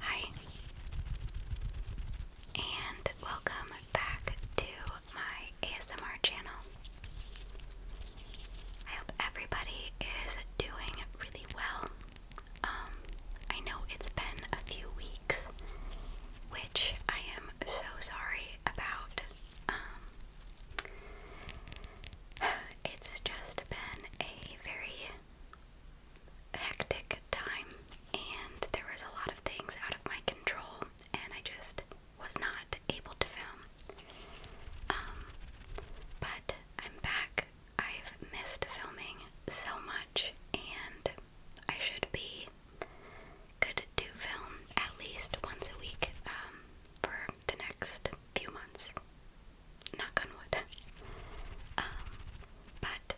Hi, and welcome back to my ASMR channel. I hope everybody is doing really well. Um, I know it's been a few weeks, which I am so sorry about. Um, it's just been a very hectic time, and there was a lot of things out of my control, and I just was not able to film. Um, but I'm back. I've missed filming so much, and I should be good to film at least once a week um, for the next few months knock on wood. Um, but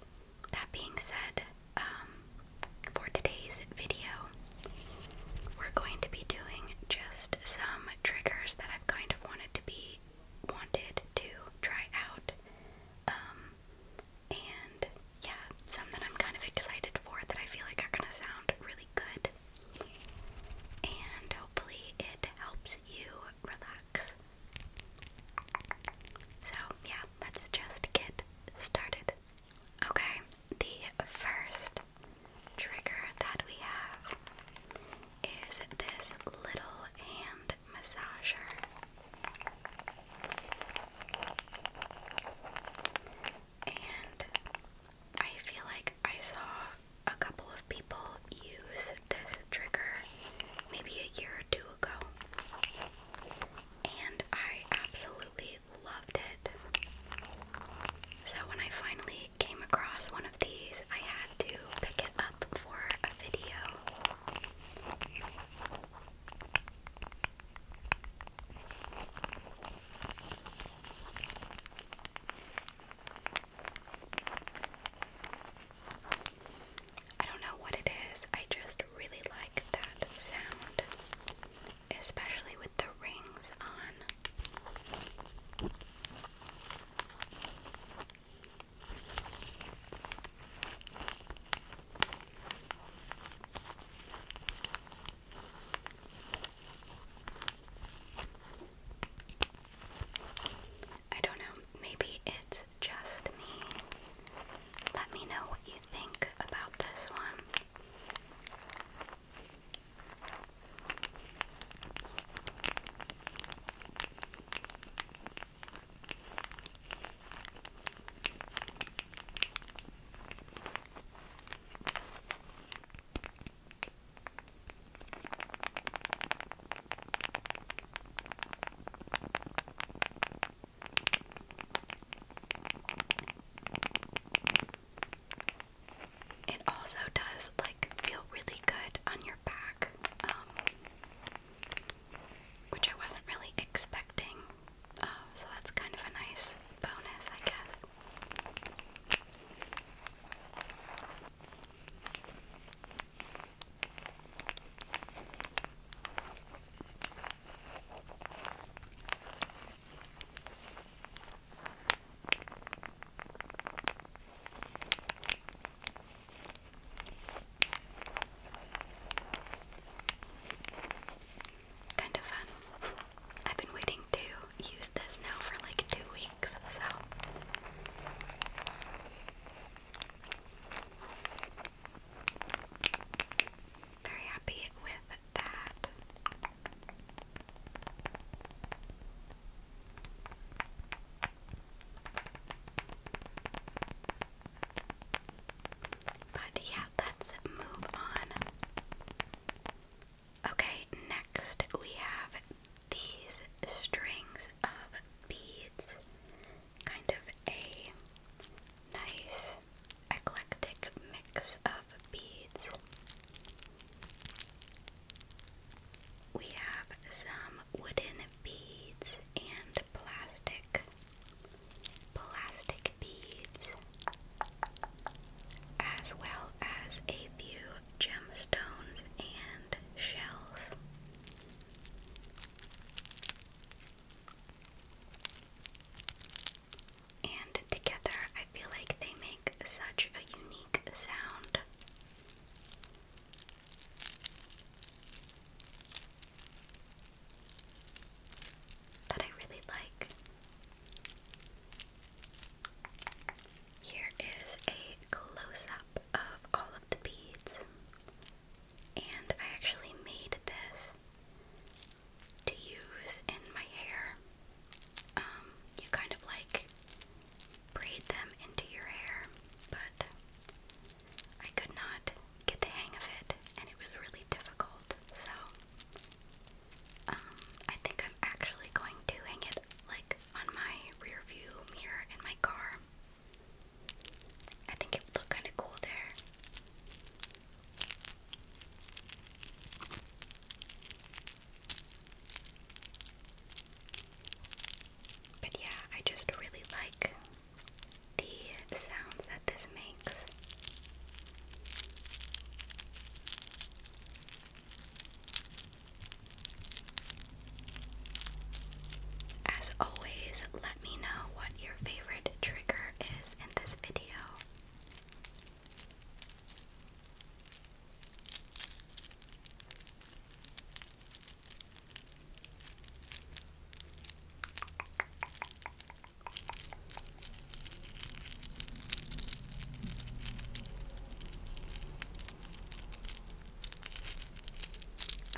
that being said, um, for today's video, we're going to be doing just some triggers that I've kind of wanted to be wanted to try out. Um, and yeah, some that I'm kind of excited for that I feel like are gonna sound really good. And hopefully, it helps you relax. So, yeah, let's just get started. Okay, the first trigger that we have is this little hand massager. And I feel like I saw a couple of people use this trigger maybe a year or two ago, and I absolutely loved it. So when I finally came across one of these, I had to pick it up for a video. I don't know what it is, I just really like that sound, especially with the rings on. I don't know, maybe it's just me. Let me know what you think about this one. It also does like feel really good on your back, um, which I wasn't really expecting. Uh, so that's kind of a nice bonus, I guess. Kind of fun. I've been waiting to use this now for like two so very happy with that. But yeah, let's move on. Okay, next we have these strings of beads, kind of a nice eclectic mix of beads. We have some wooden beads and plastic plastic beads as well as a few gemstones and shells. And together, I feel like they make such a unique sound. That I really like. Here is a close up of all of the beads. And I actually made this to use in my hair. Um, you kind of like braid them into your hair, but I could not get the hang of it and it was really difficult. So um, I think I'm actually going to hang it like on my rear mirror in my car. I think it would look kind of cool there. But yeah, I just really like the sounds that this makes. As always, let me know what your favorite trigger is in this video.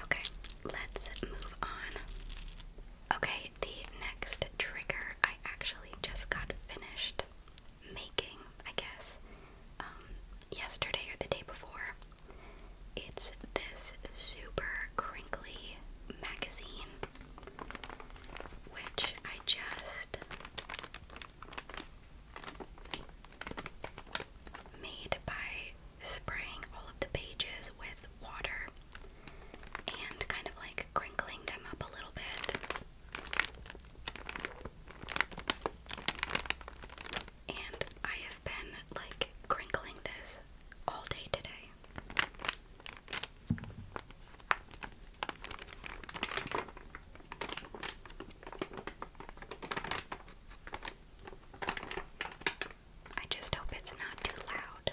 Okay, let's move on. Okay, the next trigger I actually just got finished making, I guess, um, yesterday or the day before. It's this super crinkly magazine, which I just made by spraying all of the pages with water and kind of like crinkling them up a little bit. And I have been like crinkling this all day today. I just hope it's not too loud.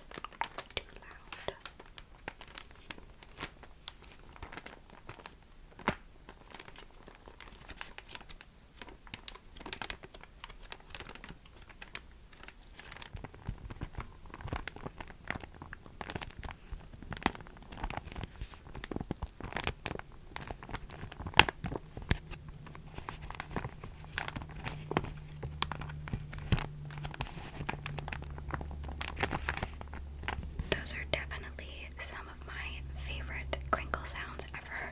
Those are definitely some of my favorite crinkle sounds ever.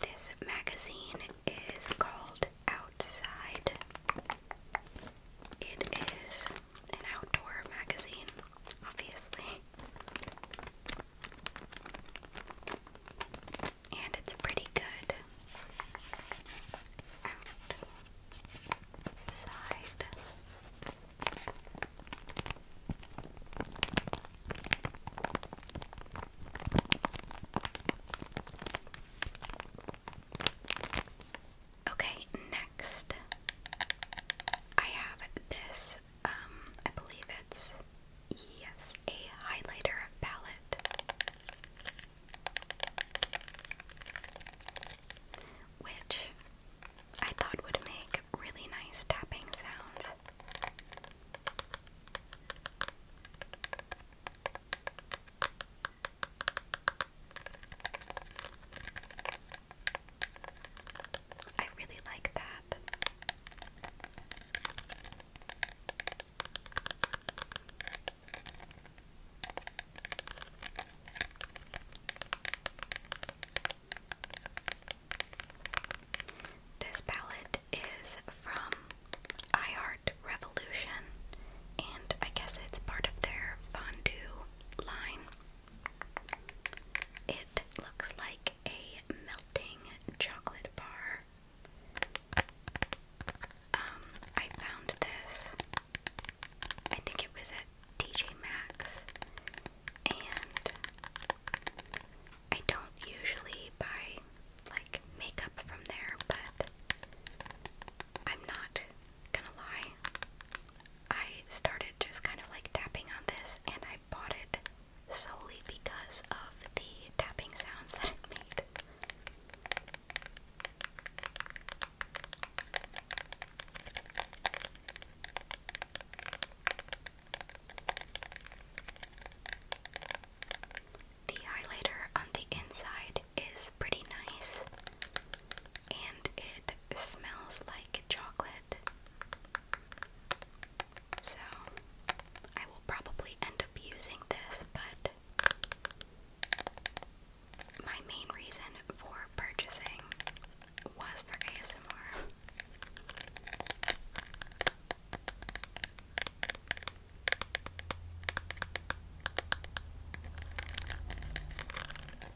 This magazine is called Outside. It is an outdoor magazine obviously. And it's pretty good Okay, next I have this um, I believe it's, yes, a highlighter palette, which I thought would make really nice tapping sounds. I really like that. This palette is from iHeart Revolution, and I guess it's part of their fondue line. It looks like a melting chocolate bar. Um, I found this. I think it was at TJ Maxx, and I don't usually buy like makeup from there, but I'm not gonna lie. I started just kind of like tapping on this, and I. I bought it solely because of the tapping sounds that it made. The highlighter on the inside is pretty nice and it smells like chocolate. So, I will probably end up using this, but my main reason for purchasing was for ASMR.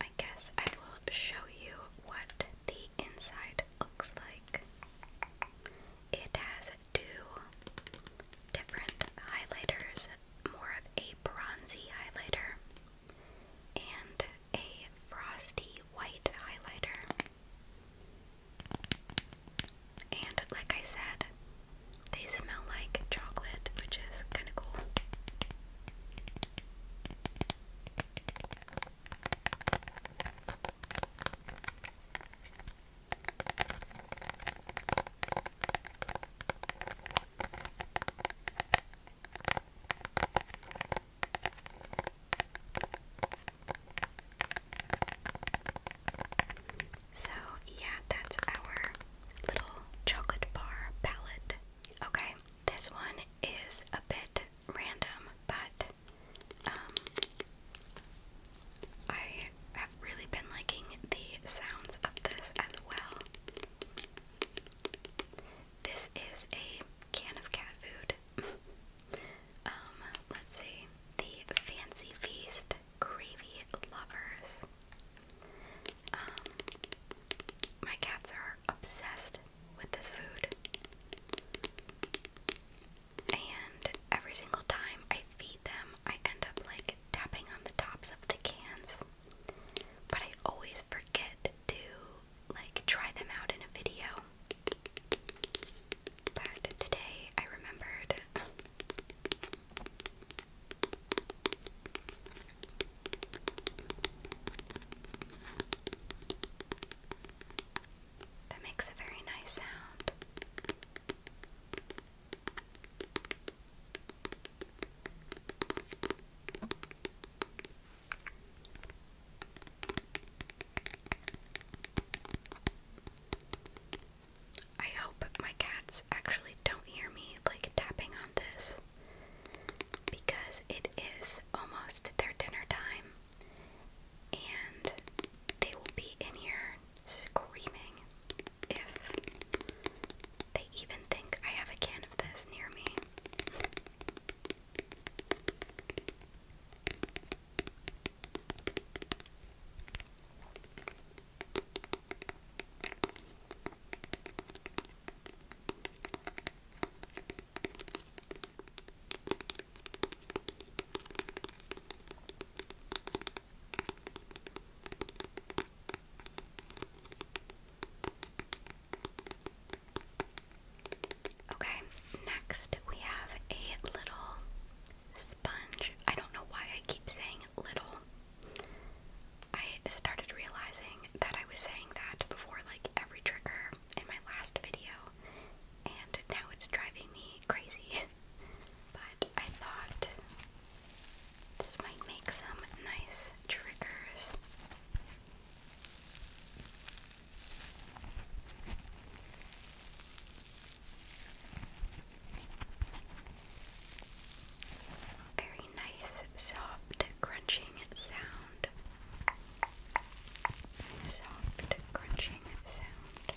I guess I will show you what the inside looks like. It has two different highlighters, more of a bronzy highlighter and a frosty white highlighter. And like I said, they smell like chocolate, which is kind of cool. So, yeah, that's our little chocolate bar palette. Okay, this one is a bit random, but um, I have really been liking the sounds of this as well. This is a can of cat food. um, let's see. The Fancy Feast Gravy lovers. Um, my cats are obsessed with this food. And every single time I feed them, I end up like tapping on the tops of the cans. But I always forget to like try them out in a video that today I remembered that makes a very nice sound. I hope my cats actually don't hear me like tapping on this because it is almost their dinner time and they will be in here screaming if they even think I have a can of this near me. Okay, next we have a little sponge. I don't know why I keep saying little. I started realizing that I was saying that before like every trigger in my last video, and now it's driving me crazy. but I thought this might make some nice triggers. Very nice, soft, crunching sound. Soft, crunching sound.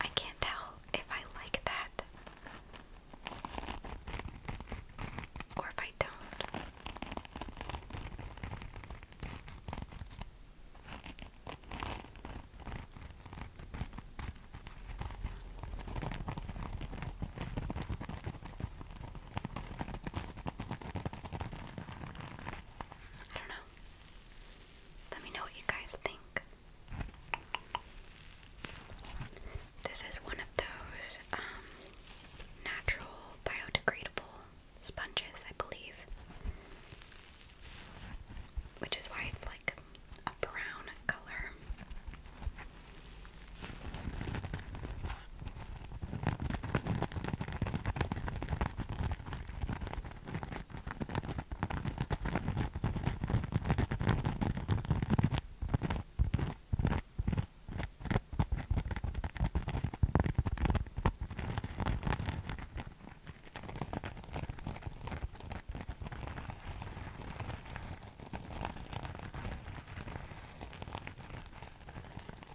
I can't tell if I like that or if I don't. I don't know. Let me know what you guys think. This is one of those um, natural biodegradable sponges, I believe, which is why it's like a brown color.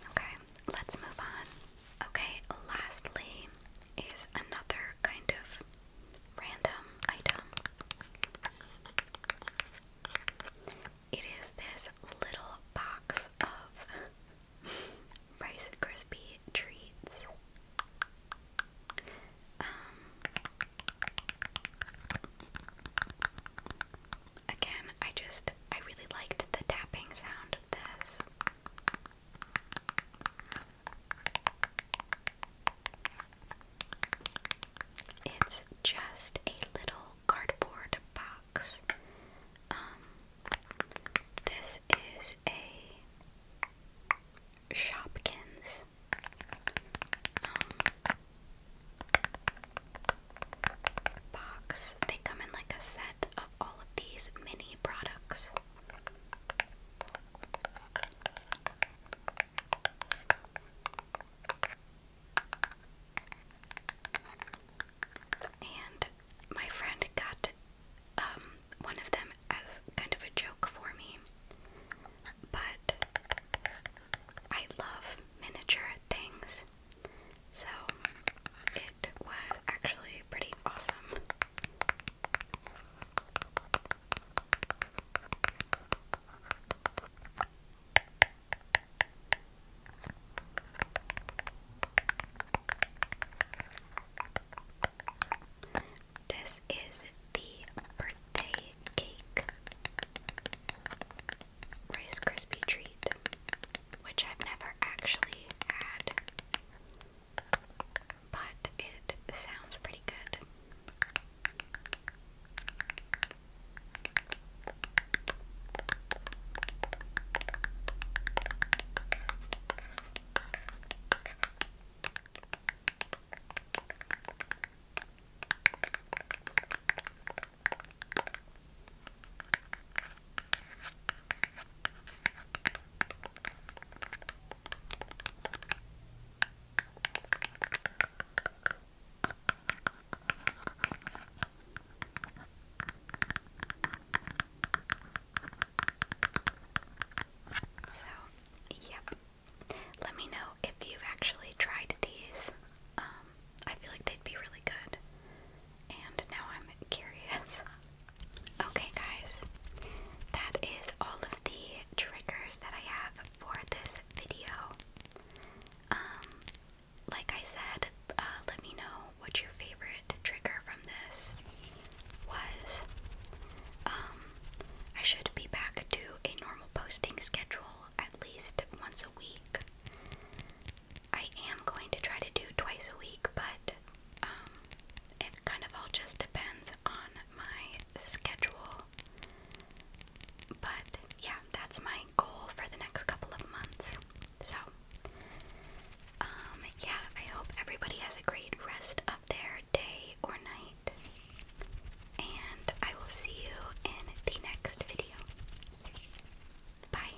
Okay, let's move on. Okay, lastly, is another kind of random item. It is this little box of Rice Krispie treats. Um, again, I just, I really liked the tapping sound this. It's just a little cardboard box. Um, this is a Shopkins. Um, box. They come in like a set of all of these mini products. And my friend got um, one of them as kind of a joke for me. But I love miniature things. So it was actually pretty awesome. This is the birthday cake Rice Krispie treat, which I've never actually had but it sounds pretty good. So, yep. Let me know if you've actually tried these. Um, I feel like they'd be really good. And now I'm curious. okay, guys, that is all of the triggers that I have for this video. Um, like I said, uh, let me know what your favorite trigger from this was. Um, I should be back to a normal posting schedule at least once a week. I am going to try to do twice a week, but um, it kind of all just depends on my schedule. But yeah, that's my goal for the next couple of months. So, um, yeah, I hope everybody has a great rest of their day or night. And I will see you in the next video. Bye.